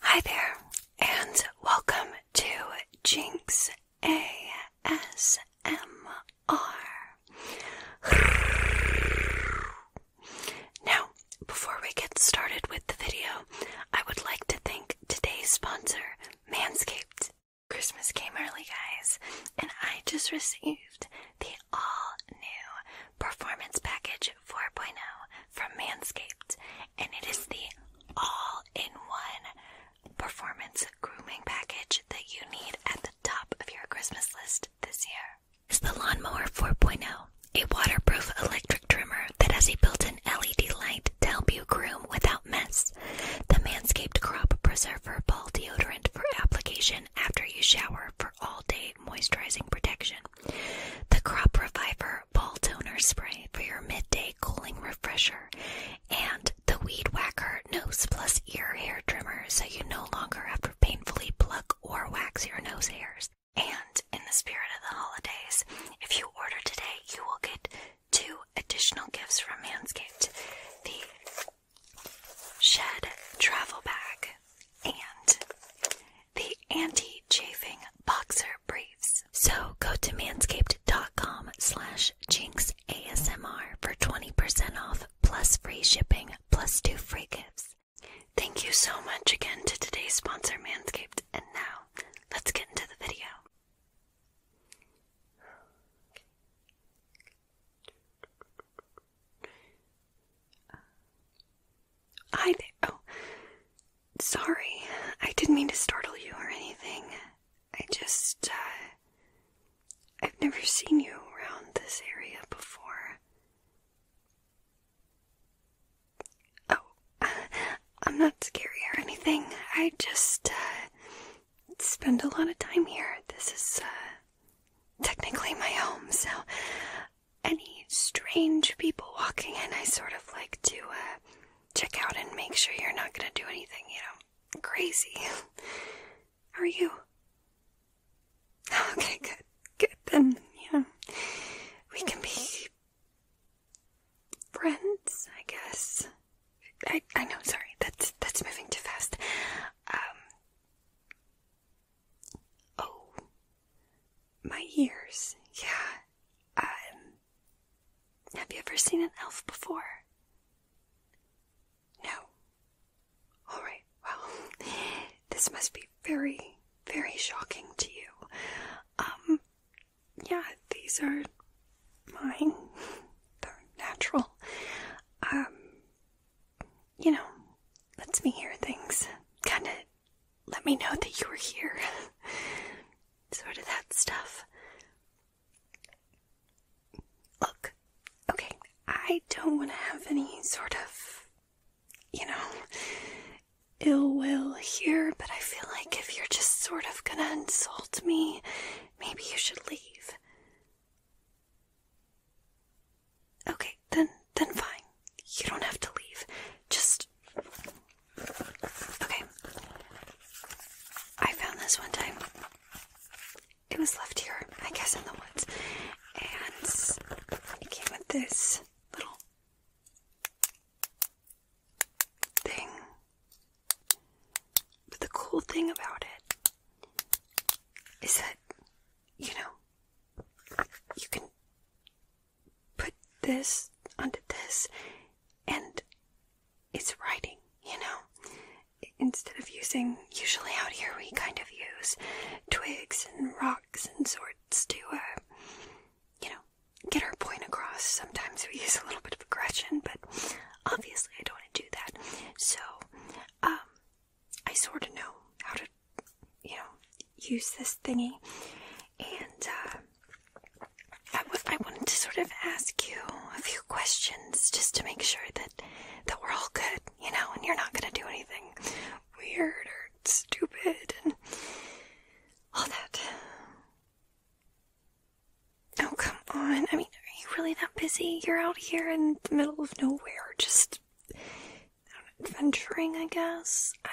Hi there, and welcome to Jinx ASMR. Now, before we get started with the video, I would like to thank today's sponsor, Manscaped. Christmas came early, guys, and I just received the all new Performance Package 4.0 from Manscaped, and it is the all in one performance grooming package that you need at the top of your Christmas list this year. It's the Lawnmower 4.0, a waterproof electric trimmer that has a built in LED light to help you groom without mess. The Manscaped Crop Preserver Ball Deodorant for application after you shower for all day moisturizing protection. The Crop Reviver Ball Toner Spray for your midday cooling refresher. And the Weed Whacker Nose Plus Ear Hair Trimmer so you no longer have to painfully pluck or wax your nose hairs. And in the spirit of the holidays, if you order today, you will get two additional gifts from Manscaped. The shed travel bag, and the anti chafing boxer briefs. So go to manscaped.com slash jinx for 20% off plus free shipping plus two free gifts. Thank you so much again to today's sponsor, Manscaped. And now, let's get into the video. Uh, Oh, sorry. I didn't mean to startle you or anything. I just, uh, I've never seen you around this area before. Oh, I'm not scary or anything. I just, uh, spend a lot of time here. This is uh, technically my home, so any strange people walking in, I sort of like to uh, check out and make sure you're not gonna do anything, you know, crazy. are you? Okay, good. Good, then, yeah, we can be friends, I guess. I, I know, sorry, that's that's moving too fast. Um, Oh, my ears. Yeah. Um, have you ever seen an elf before? No. All right. Well, this must be very, very shocking to you. Um, yeah, these are mine. They're natural. Um, you know, lets me hear things. Kind of let me know that you were here. sort of that stuff. Look, okay, I don't want to have any sort of, you know, ill will here, but I feel like if you're just sort of gonna insult me, maybe you should leave. Okay, then then fine. You don't have to leave. Just Okay. I found this one time. It was left here, I guess in the woods. And it came with this little thing. But the cool thing about it is that, you know, you can put this onto this and it's writing, you know. Instead of using, usually out here we kind of use twigs and rocks and sorts to, uh, you know, get our point across. Sometimes we use a little bit of aggression, but obviously I don't want to do that. So um, I sort of know how to, you know, use this thingy, and uh, I wanted to sort of ask you a few questions just to make sure that that we're all good, you know, and you're not gonna do anything weird or stupid and all that. Oh, come on. I mean, are you really that busy? You're out here in the middle of nowhere, just adventuring, I guess. I,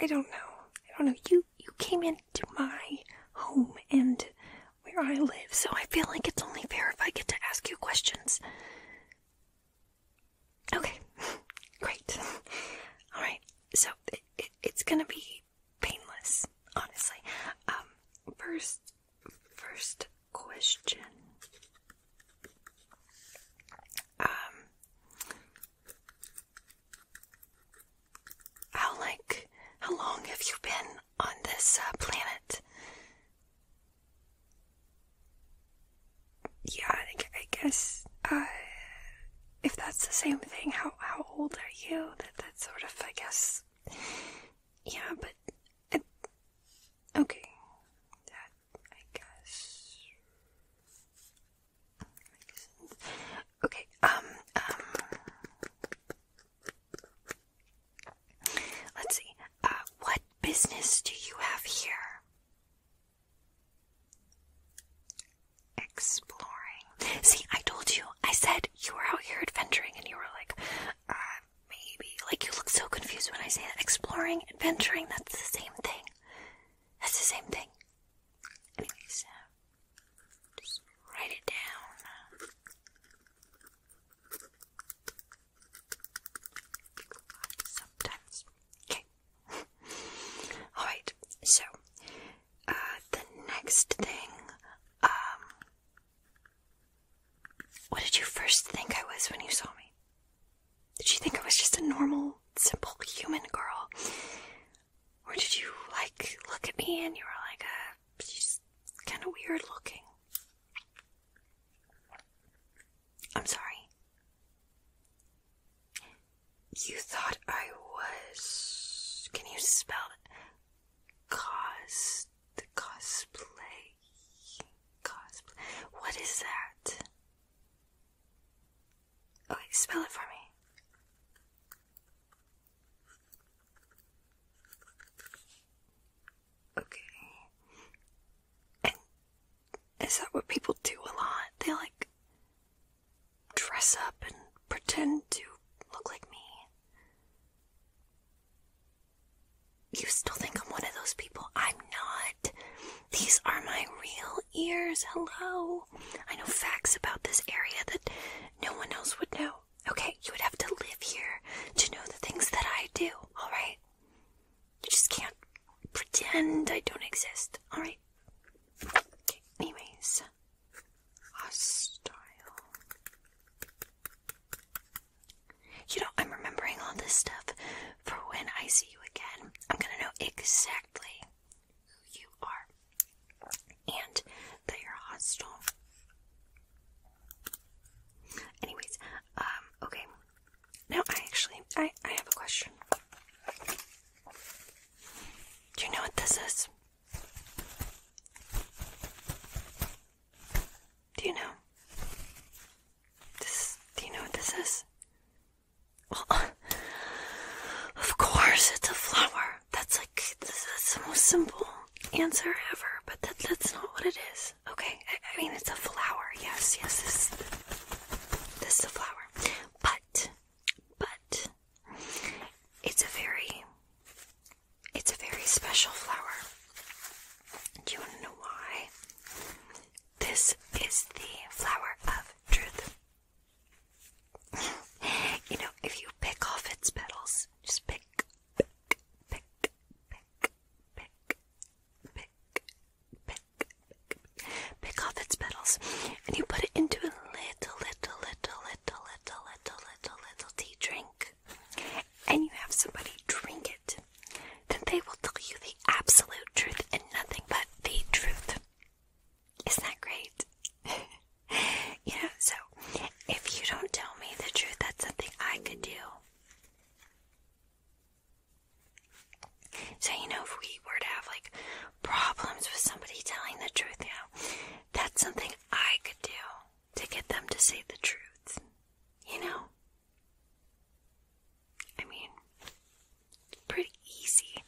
I, don't know. I don't know. You you came into my home and where I live, so I feel like it's only fair if I get to ask you questions. Okay, great. All right, so it, it's gonna be painless, honestly. Um, first, first question. Um, how like how long have you been on this uh, planet? Yeah, I, I guess uh, if that's the same thing, how how old are you? That that sort of I guess yeah, but. okay. That, I guess. Okay, um, um. Let's see. Uh, what business do you have here? Exploring. See, I told you. I said you were out here adventuring, and you were like, uh, maybe. Like, you look so confused when I say that. Exploring, adventuring, that's the same thing. That's the same thing. Anyways, uh, just write it down. Sometimes. Okay. Alright, so, uh, the next thing, um, what did you first think I was when you saw me? Did you think I was just a normal, simple human girl? Or did you, like, look at me and you were like, uh, she's kind of weird looking? I'm sorry. You thought I was. Can you spell it? cos cosplay cosplay. What is that? Okay, spell it for me. Okay. is that what people do a lot? They like dress up and pretend to look like me. You still think I'm one of those people? I'm not. These are my real ears. Hello. I know facts about this area that no one else would know. Okay, you would have to live here to know the things that I do, alright? You just can't pretend I don't exist, alright? anyways. Hostile. You know, I'm remembering all this stuff for when I see you again. I'm gonna know exactly who you are and that you're hostile. Anyways, um, okay. Now I actually I, I have a question. Do you know what this is? Do you know? This, do you know what this is? Well, of course, it's a flower. That's like, that's the most simple answer ever, but that's not what it is. Okay, I, I mean, it's a flower. Yes, yes, this, this is a flower. But, but, it's a very it's a very special flower. Do you want to know why? This is the flower of truth. you know, if you pick off its petals, just pick, pick, pick, pick, pick, pick, pick, pick, pick, off its petals, and you put it into a little, little, little, little, little, little, little, little tea drink and you have somebody drink it, then they will tell you the absolute truth and nothing but the truth. Isn't that great? you know, so if you don't tell me the truth, that's something I could do. So, you know, if we were to have like problems with somebody telling the truth now, that's something I could do to get them to say the truth. You know? I mean, pretty easy.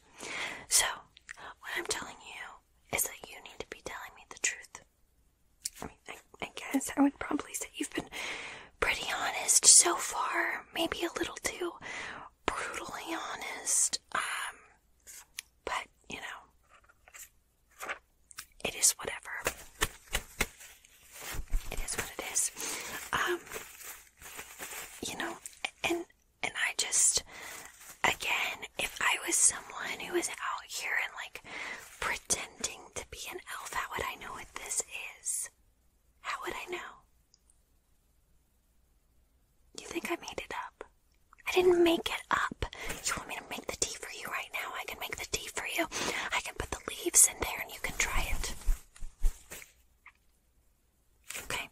So, what I'm telling you is that you need to be telling me the truth. I mean, I, I guess I would probably say you've been pretty honest so far, maybe a little too brutally honest. Um, but, you know, it is whatever. It is what it is. Um, you know, and and I just again, if I was someone who was out here and like pretending to be an elf, how would I know what this is? How would I know? You think I made it up? I didn't make it up. You want me to make the tea for you right now? I can make the tea for you. I can put the leaves in there and you can try it. Okay,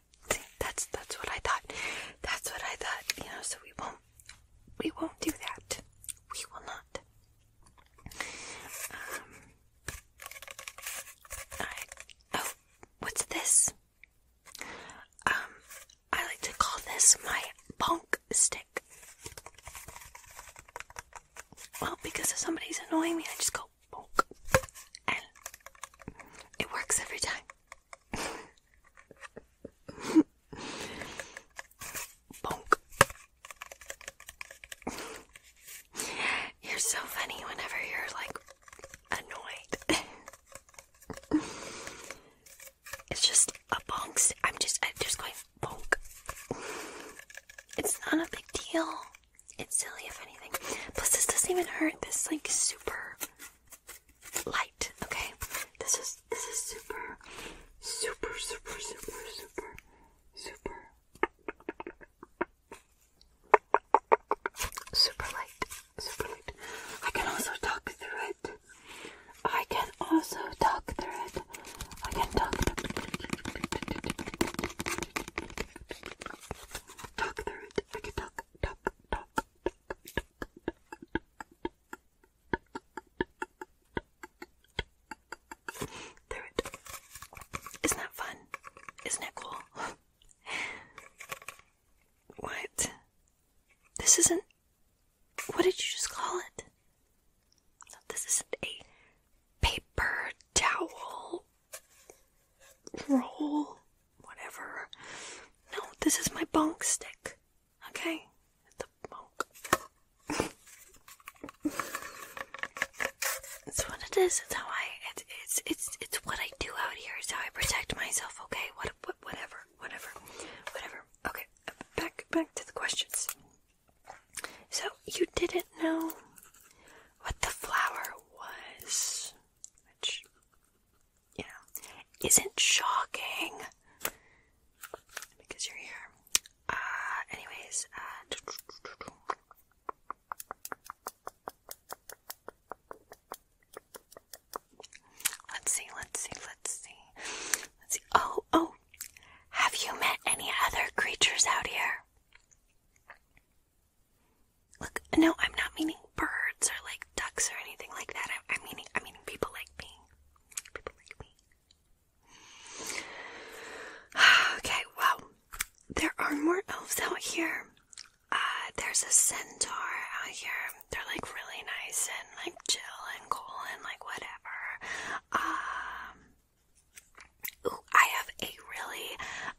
that's that's what I thought. That's what I thought, you know, so we won't we won't do that. We will not. Um oh, what's this? Um, I like to call this my bonk stick. Well, because if somebody's annoying me, I just go bonk. And it works every time. bonk. You're so funny whenever you're like annoyed. it's just a bonk. I'm just, I'm just going bonk. It's not a big deal. It's silly, if anything. Plus, this doesn't even hurt. This is like super light. Okay, this is this is super, super, super, super, super, super. Super light, super light. I can also talk through it. I can also talk through it. I can talk through it. Talk through it. I can talk, talk, talk, talk, talk, talk. Through it. Isn't that fun? Isn't it cool? What? This isn't. What did you just call it? this isn't a paper towel roll, whatever. No, this is my bonk stick. Okay? The bonk. That's what it is. That's how I it's it's it's what I do out here. It's how I protect myself. Okay, what, what whatever, whatever, whatever. Okay, back back to the questions. So you didn't know what the flower was, which you know isn't shocking because you're here. Uh, anyways, uh, Let's see, let's see, let's see. Let's see. Oh, oh. Have you met any other creatures out here? Look, no, I'm not meaning birds or like ducks or anything like that. I'm, meaning, I'm people like me. People like me. Okay, well, there are more elves out here. Uh, there's a centaur out here. They're like really nice and like chill and cool and like whatever. Um, ooh, I have a really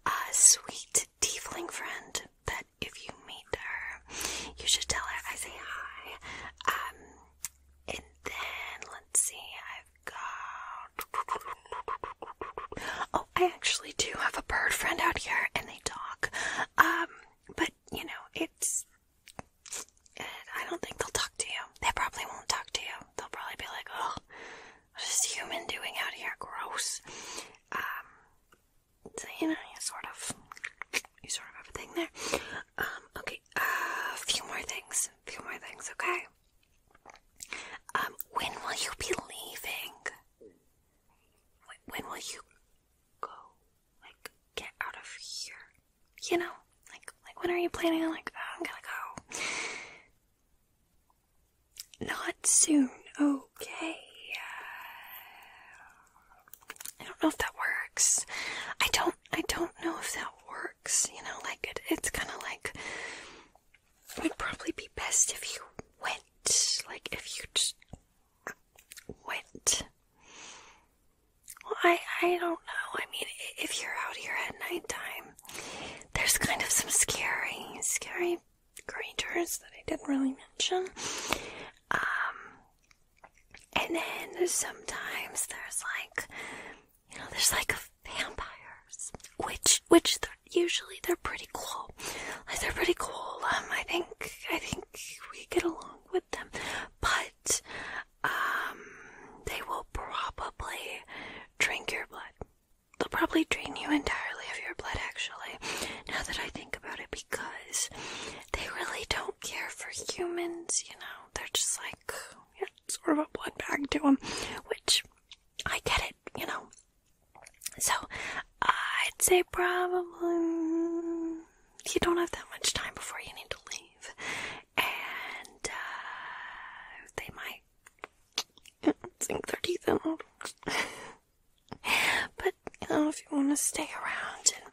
uh, sweet tiefling friend that if you meet her, you should tell her I say hi. Um, and then let's see, I've got Oh, I actually do have a bird friend out here, and they talk. Um, but you know, it's. I don't think they'll talk to you. They probably won't talk to you. They'll probably be like, "Oh, what is this human doing out here? Gross." Um, so you know, you sort of, you sort of have a thing there. Um, okay, a few more things, a few more things, okay. Um, when will you be leaving? When will you go? Like, get out of here. You know, like, like when are you planning on, like, oh, I'm gonna go? Not soon, okay. I don't know if that works. I don't, I don't know if that works. You know, like, it, it's kind of like it would probably be best if you went. Like, if you just went. I, I don't know. I mean, if you're out here at nighttime, there's kind of some scary, scary creatures that I didn't really mention. Um, and then sometimes there's like, you know, there's like vampires, which, which usually they're pretty cool. Like they're pretty cool. Um, I think I think we get along with them, but um, they will probably drink your blood. They'll probably drain you entirely of your blood, actually. Now that I think about it, because they really don't care for humans. You know, they're just like yeah, sort of a blood bag to them, which I get it. You know, so I'd say probably you don't have that much time before you need to leave, and uh, they might sink their teeth in. but if you want to stay around and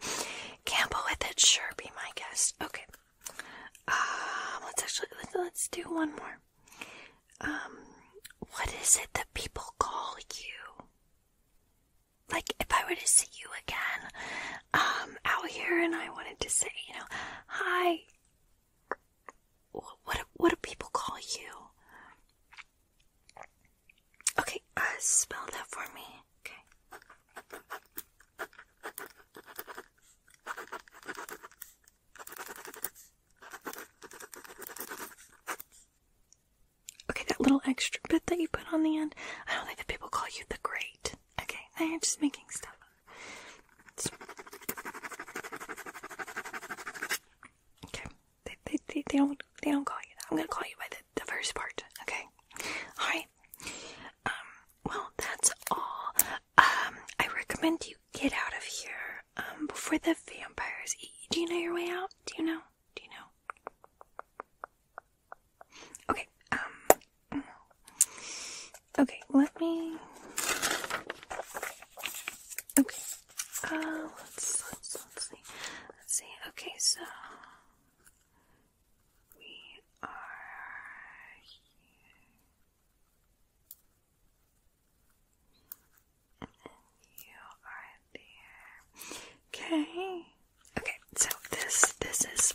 gamble with it, sure, be my guest. Okay. Um, let's actually let's do one more. Um, what is it that people call you? Like, if I were to see you again, um, out here, and I wanted to say, you know, hi. What what do people call you? Okay, uh, spell that for me. Okay. Okay, that little extra bit that you put on the end, I don't think that people call you the great. Okay, I am just making stuff Okay, they, they, they, they, don't, they don't call you that. I'm gonna call you by the, the first part, okay? Alright. Um, well, that's all. Um, I recommend you get out of here um, before the vampires eat Do you know your way out? Do you know? Do you know? Okay. Um. Okay. Let me. Okay. Uh, let's let's let's see. Let's see. Okay. So we are here you are there. Okay. Okay, so this this is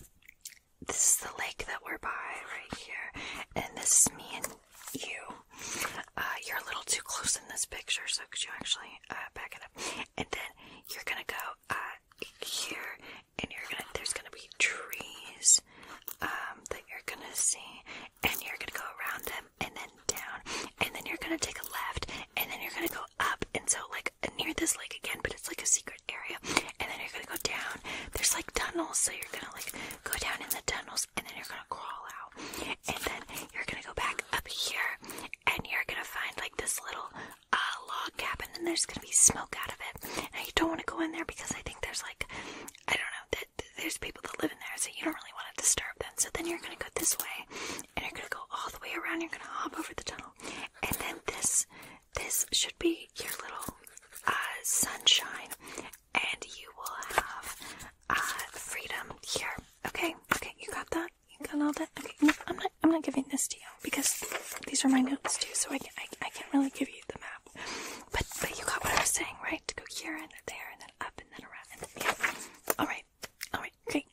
this is the lake that we're by right here. And this is me and you. Uh, you're a little too close in this picture, so could you actually uh, back it up? And then you're gonna go uh, here, and you're gonna there's gonna be trees leaves um, that you're gonna see, and you're gonna go around them and then down, and then you're gonna take a left, and then you're gonna go up, and so like near this lake again, but it's like a secret area, and then you're gonna go down. There's like tunnels, so you're gonna like go down in the tunnels, and then you're gonna crawl out, and then you're gonna go back up here, and you're gonna find like this little uh, log cabin, and there's gonna be smoke out of it. Now you don't want to go in there because I think there's like I don't know there's people that live in there, so you don't really want to disturb them. So then you're gonna go this way, and you're gonna go all the way around. You're gonna hop over the tunnel, and then this this should be your little uh, sunshine, and you will have uh, freedom here. Okay, okay, you got that. You got all that. Okay, no, I'm not. I'm not giving this to you because these are my notes too. So I can, I, I can't really give you the map. But, but you got what I was saying, right? To go here and then there and then up and then around and then yeah. Alright. Alright, great.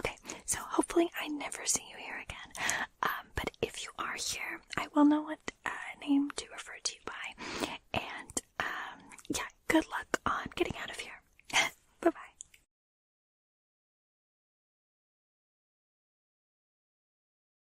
Okay, so hopefully I never see you here again. Um, but if you are here, I will know what uh, name to refer to you by. And um, yeah, good luck on getting out of here. bye bye.